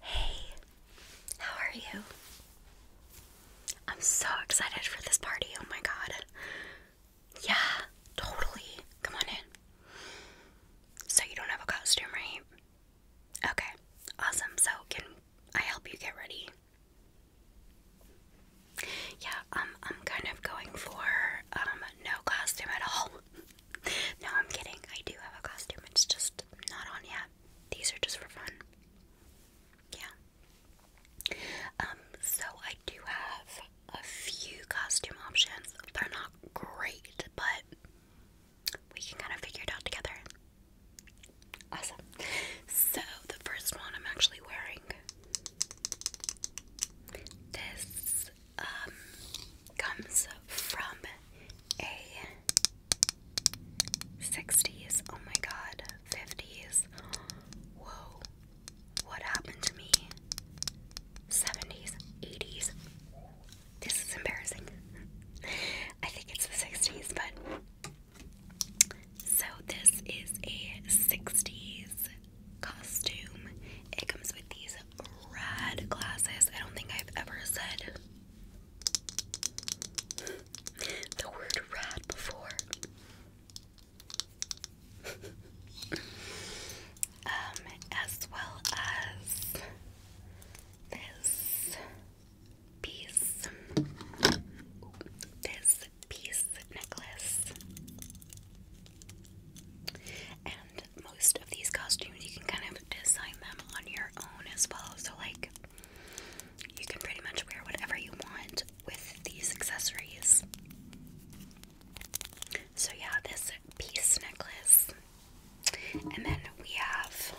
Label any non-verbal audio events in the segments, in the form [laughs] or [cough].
Hey, how are you? I'm so excited for this party. Oh my god. Yeah, totally. Come on in. So, you don't have a costume, right? Okay, awesome. So, can I help you get ready? Yeah, um, I'm kind of going for um, no costume at all no, I'm kidding. I do have a costume. It's just not on yet. These are just for fun. Yeah. Um, so I do have a few costume options. They're not great, but we can kind of figure it out together. Awesome. So the first one I'm actually wearing this um, comes from a 60s, oh my god, 50s, whoa, what happened to me? 70s, 80s, this is embarrassing. [laughs] I think it's the 60s, but. So, this is a 60s costume. It comes with these rad glasses. I don't think I've ever said the word rad before. um, as well as this piece, this piece necklace, and most of these costumes you can kind of design them on your own as well. So like you can pretty much wear whatever you want with these accessories. So yeah, this peace necklace. And then we have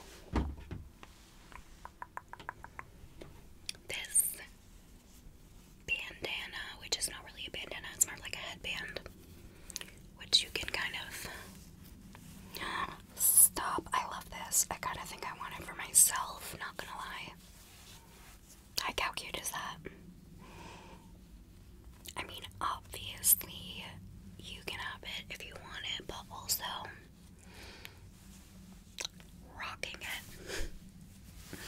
this bandana, which is not really a bandana, it's more like a headband which you can kind of stop. I love this. I kind of think I want it for myself, not gonna lie. Like, how cute is that? I mean, obviously, you can have it if you want it, but also rocking it.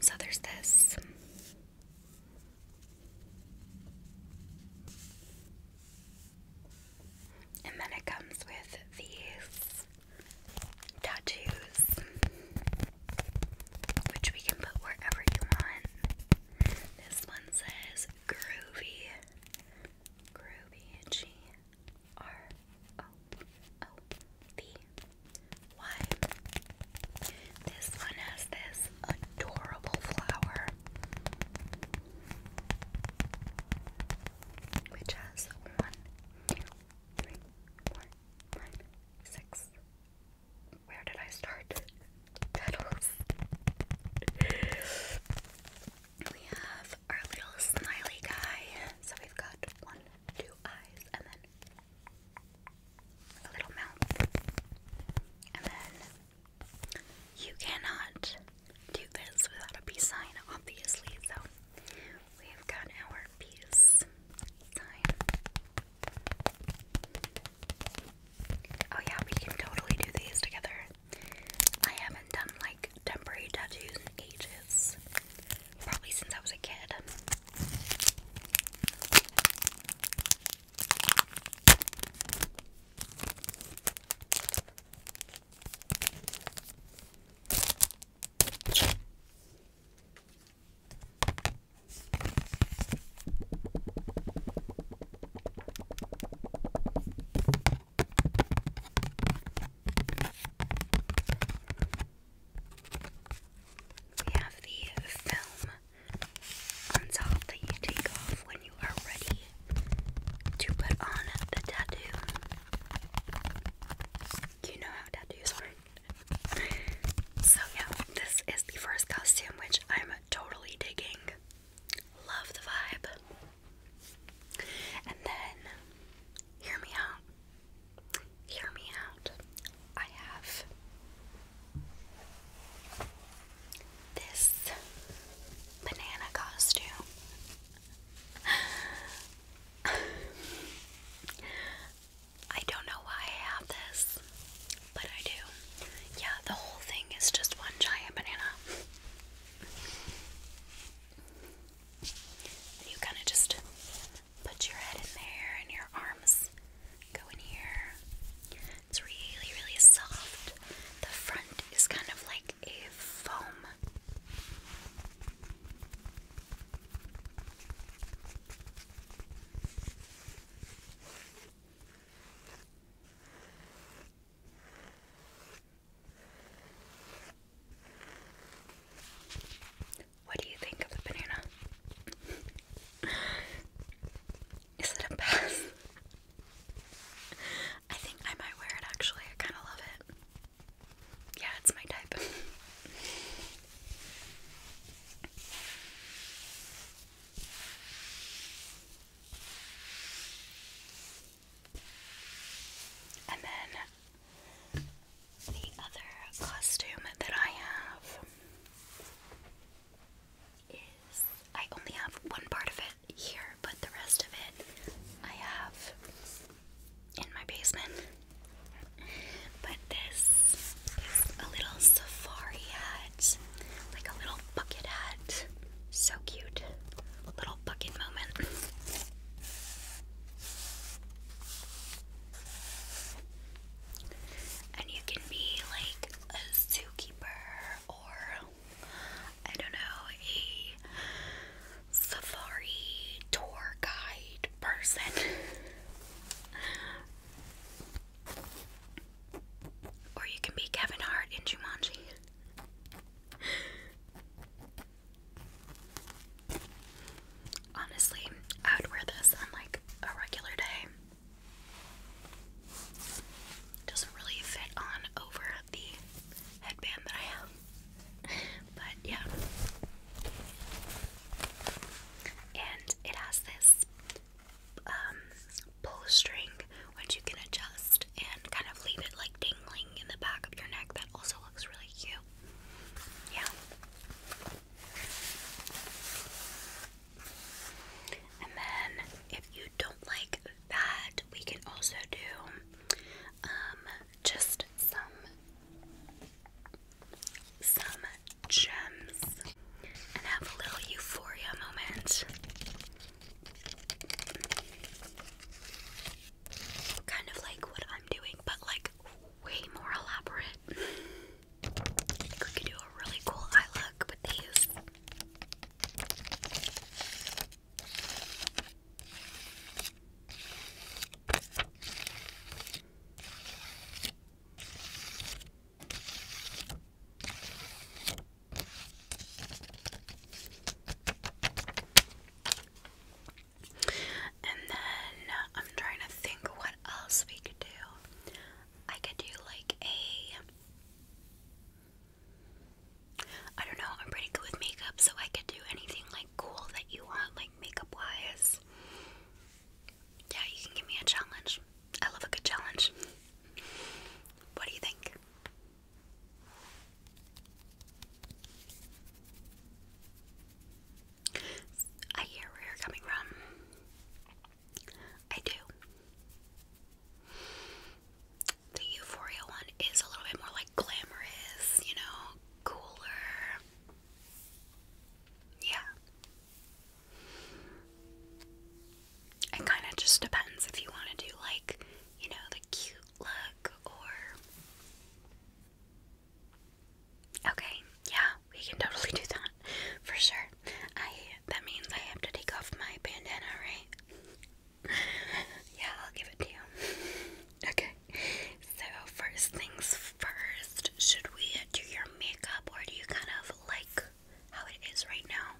so, there's this. And then it comes with these tattoos, which we can put wherever you want. This one says groovy, groovy, G R O O V Y. This one has this adorable flower, which has one, two, three, four, five, six. Where did I start? Petals. We have our little smiley guy. So we've got one, two eyes, and then a little mouth. And then you cannot do this without a peace sign, obviously. So we have got our peace sign. Oh, yeah, we can totally do these together. I haven't done like temporary tattoos in ages. Probably since I was a kid. We have the film on top that you take off when you are ready to put on the tattoo. You know how tattoos work. so, yeah, this is the first costume which I'm totally digging. Love the vibe. And then, hear me out. Hear me out. I have this banana costume. I don't know why I have this, but I do. Yeah, the whole thing is just one giant banana. You kind of just Put your head in there and your arms go in here. It's really, really soft. The front is kind of like a foam. What do you think of the banana? [laughs] Is it a pass? I think I might wear it actually. I kind of love it. Yeah, it's my type. [laughs] and then the other costume that I have is I only have one part of it here, but the rest of it I have in my basement. But this a little safari hat, like a little bucket hat. So cute. little bucket moment. And you can be like a zookeeper or I don't know, a safari tour guide person. [laughs] or you can be Kevin Hart in Jumanji. Honestly, I would wear this on like a regular day. Doesn't really fit on over the headband that I have. [laughs] But yeah. And it has this um, pull string which you can adjust and kind of leave it like dangling in the back of your neck. That also looks really cute. Yeah. And then, if you don't like that, we can also do um, just some some gems and have a little euphoria moment. Kind of like what I'm doing, but like way more elaborate. we could do a really cool eye look with these. And then uh, I'm trying to think what else we could do. I could do like a I don't know, I'm pretty good with makeup, so I could do anything like cool that you want, like makeup wise. Yeah, you can give me a challenge. I love a good challenge. What do you think? I hear where you're coming from. I do. The Euphoria one is a little bit more like glamorous, you know, cooler. Yeah. It kind of just depends if you want to do, like, you know, the cute look or Okay, yeah, we can totally do that for sure. I that means I have to take off my bandana, right? [laughs] yeah, I'll give it to you. [laughs] okay, so first things first, should we do your makeup or do you kind of like how it is right now?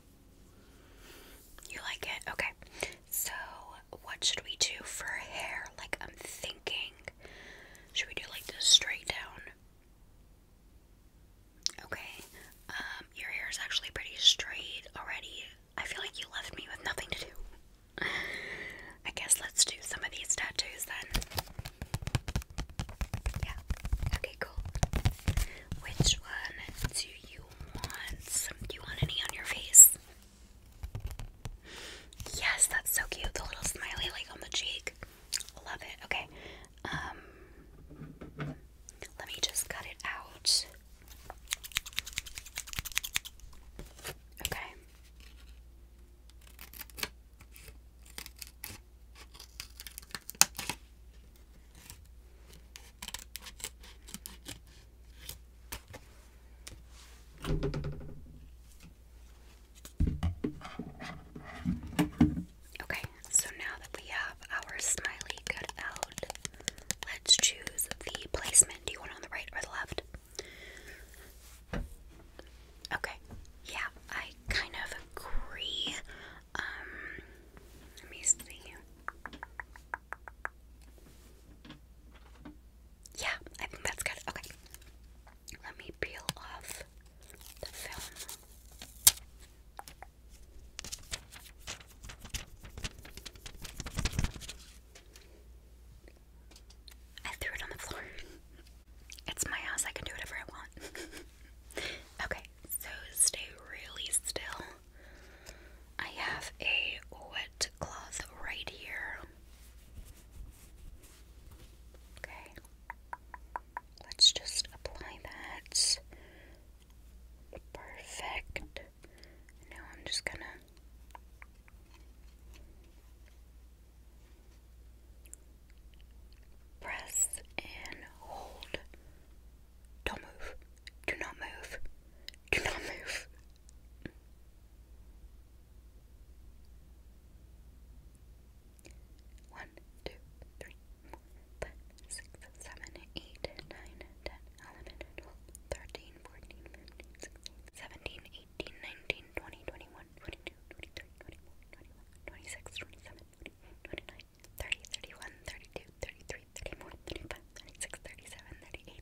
You like it? Okay, so what should we do for hair? Like, I'm thinking, should we do like this straight down? Okay, um, your hair is actually pretty straight already. I feel like you left me with nothing to do. [laughs] I guess let's do some of these tattoos then. Yeah, okay, cool. Which one do you want? Do you want any on your face? Yes, that's so cute. The little smiley like on the cheek. Love it. Okay. Um, let me just cut it out. Okay. Okay, so now that we have our smiley cut out, let's choose the placement. Do you want on the right or the left? Okay, yeah, I kind of agree. Um, let me see. Yeah, I think that's good. Okay. Let me peel off the film. I threw it on the floor. [laughs] It's my house, I can do whatever I want. [laughs] okay, so stay really still. I have a wet cloth right here. Okay, let's just apply that. Perfect. Now I'm just gonna. Press and hold. Don't move. Do not move. Do not move. One, two, three, four, five, six, seven, eight, nine, ten, eleven, twelve, thirteen, fourteen, fifteen, sixteen, seventeen, eighteen, nineteen, twenty, twenty-one, twenty-two, twenty-three, twenty-four, twenty-five, twenty-six, twenty-seven, twenty-eight, twenty-nine, thirty, thirty-one, thirty-two, thirty-three, thirty-four, thirty-five, thirty-six, thirty-seven, thirty-eight.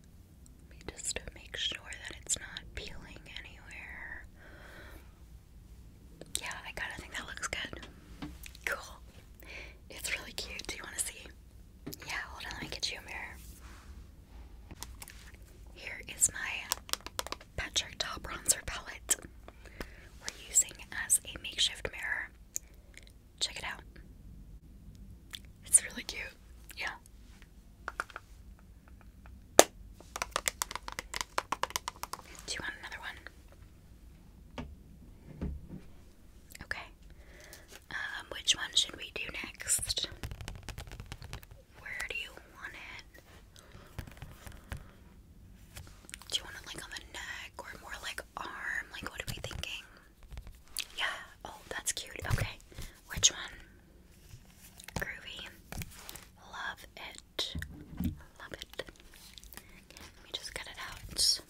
Let me make sure that it's not peeling anywhere. Yeah, I kind of think that looks good. Cool. It's really cute. Do you want to see? Yeah, hold on. Let me get you a mirror. Here is my Patrick Ta Bronzer Palette we're using as a makeshift mirror. Check it out. It's really cute. Yeah. Do you want another one? Okay. Um, which one should we do next? Where do you want it? Do you want it like on the neck or more like arm? Like, what are we thinking? yeah, oh, that's cute. Okay, which one? Groovy. Love it. Love it. Let me just get it out.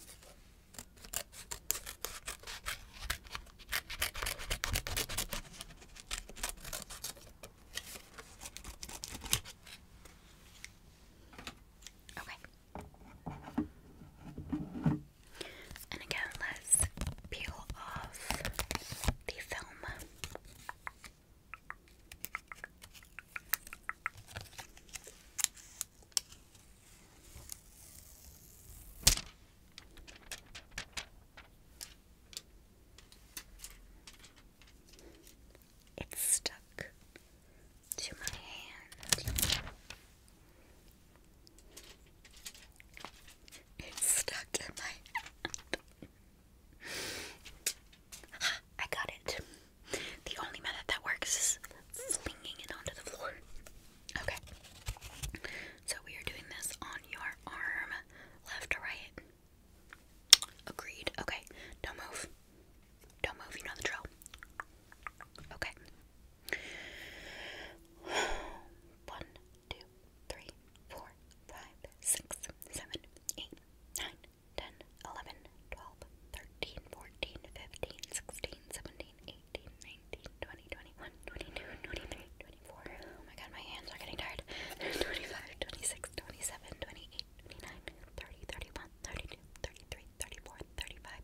Okay. And again, let's peel off the film. It's stuck to my hand. It's stuck in my hand. [gasps] I got it. The only method that works is flinging it onto the floor. Okay. So we are doing this on your arm, left to right. Agreed. Okay. Don't move. Don't move. You know the drill. Okay. One, two, three, four, five, six, seven, eight, nine, ten, eleven, twelve, thirteen, fourteen, fifteen, sixteen, seventeen, eighteen, nineteen, twenty, twenty-one, twenty-two, twenty-three, twenty-four. Oh my god, my hands are getting tired. [laughs] Twenty-five, twenty-six, twenty-seven, twenty-eight, twenty-nine, thirty, thirty-one, thirty-two, thirty-three, thirty-four, thirty-five.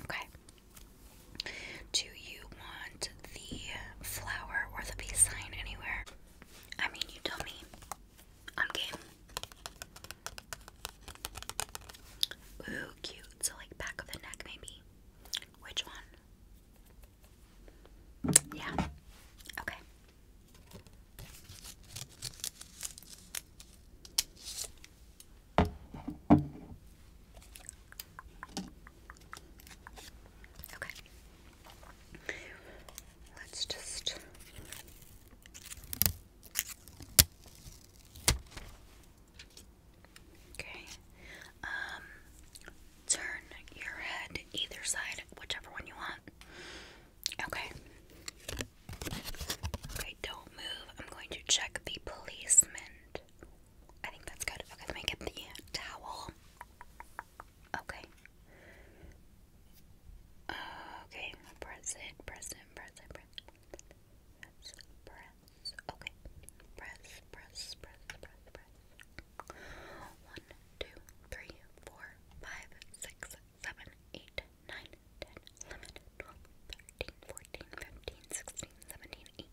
Okay. Do you want the flower or the peace sign anywhere? I mean, you tell me. I'm game. Ooh, cute. So, like, back of the neck, maybe. Which one? Yeah. Okay. Okay. Let's just Okay. Um turn your head either side, whichever one you want. Okay. Okay, don't move. I'm going to check the placement. I think that's good. Okay, let me get the towel. Okay. okay, press it, press it, press it, press Press, press. Okay. Press, press, press, press, press. One, two, three, four, five, six, seven, eight, nine, ten, eleven, twelve, thirteen, fourteen, fifteen, sixteen, seventeen, eighteen.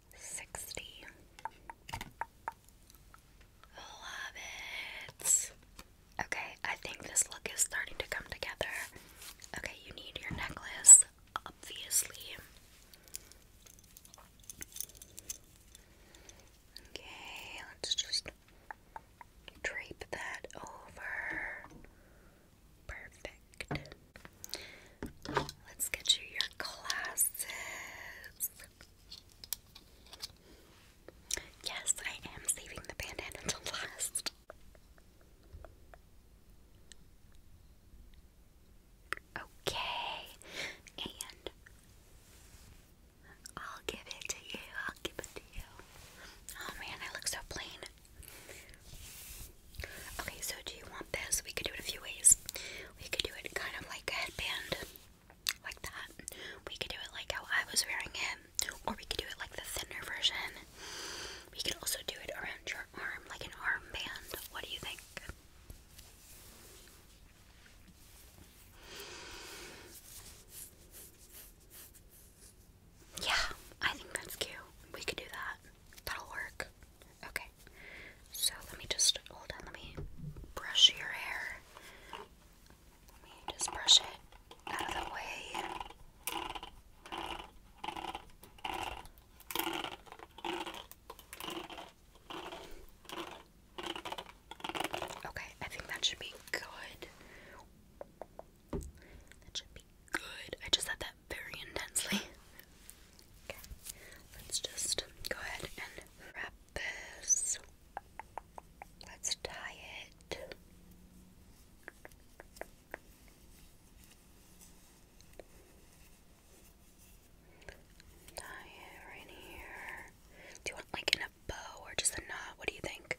sixty. Love it. Okay, I think this look is starting to come together. Okay, you need your necklace, obviously. Okay, let's just drape that over. Perfect. Let's get you your glasses. Yes, I am saving the bandana until last. Okay, and I'll give it to you. I'll give it to you. Oh man, I look so plain. Okay, so do you want this, we could do it a few ways. We could do it kind of like a headband, like that. We could do it like how I was wearing it, or we could do it like the thinner version. We could also do it around your arm, like an armband. What do you think? Yeah, I think that's cute. We could do that. That'll work. Okay. So let me just hold on. Let me brush your hair. Let me just brush it out of the way. Okay, I think that should be good. That should be good. I just said that very intensely. [laughs] let's just go ahead and wrap this. Let's tie it. Tie it right here. Do you want like in a bow or just a knot? What do you think?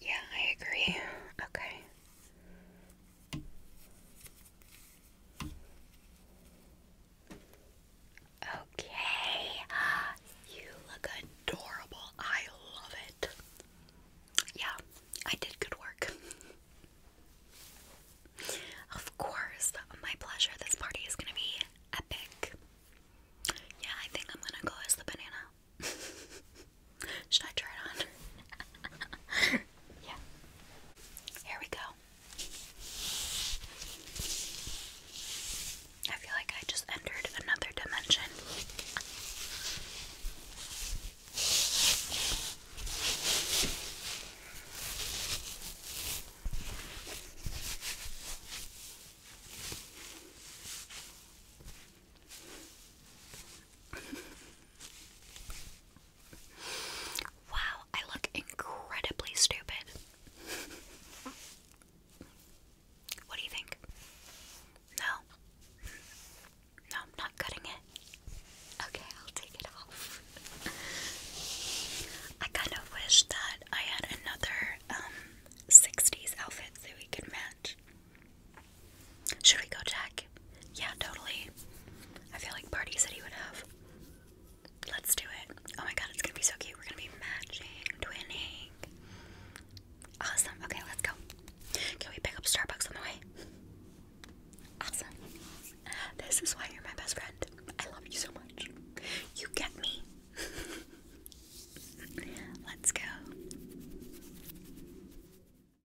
Yeah, I agree. Okay. Okay, you look adorable. I love it. Yeah, I did good work. of course, my pleasure. This party is gonna be epic. Yeah, I think I'm gonna go as the banana. [laughs] Should I try it on? [laughs] Sure. Yeah. Here we go. I feel like I just entered another dimension. Wow, I look incredibly stupid. What do you think? No? No, I'm not cutting it. Okay, I'll take it off. I kind of wish that I had another 60s um, outfit that we could match. Should we go Jack? Yeah, totally. I feel like parties that he would have. Let's do it. Oh my god, it's gonna be so cute. We're gonna be matching, twinning. Awesome. Okay, let's go. Can we pick up Starbucks on the way? Awesome. This is why you're my best friend. I love you so much. You get me. [laughs] Let's go.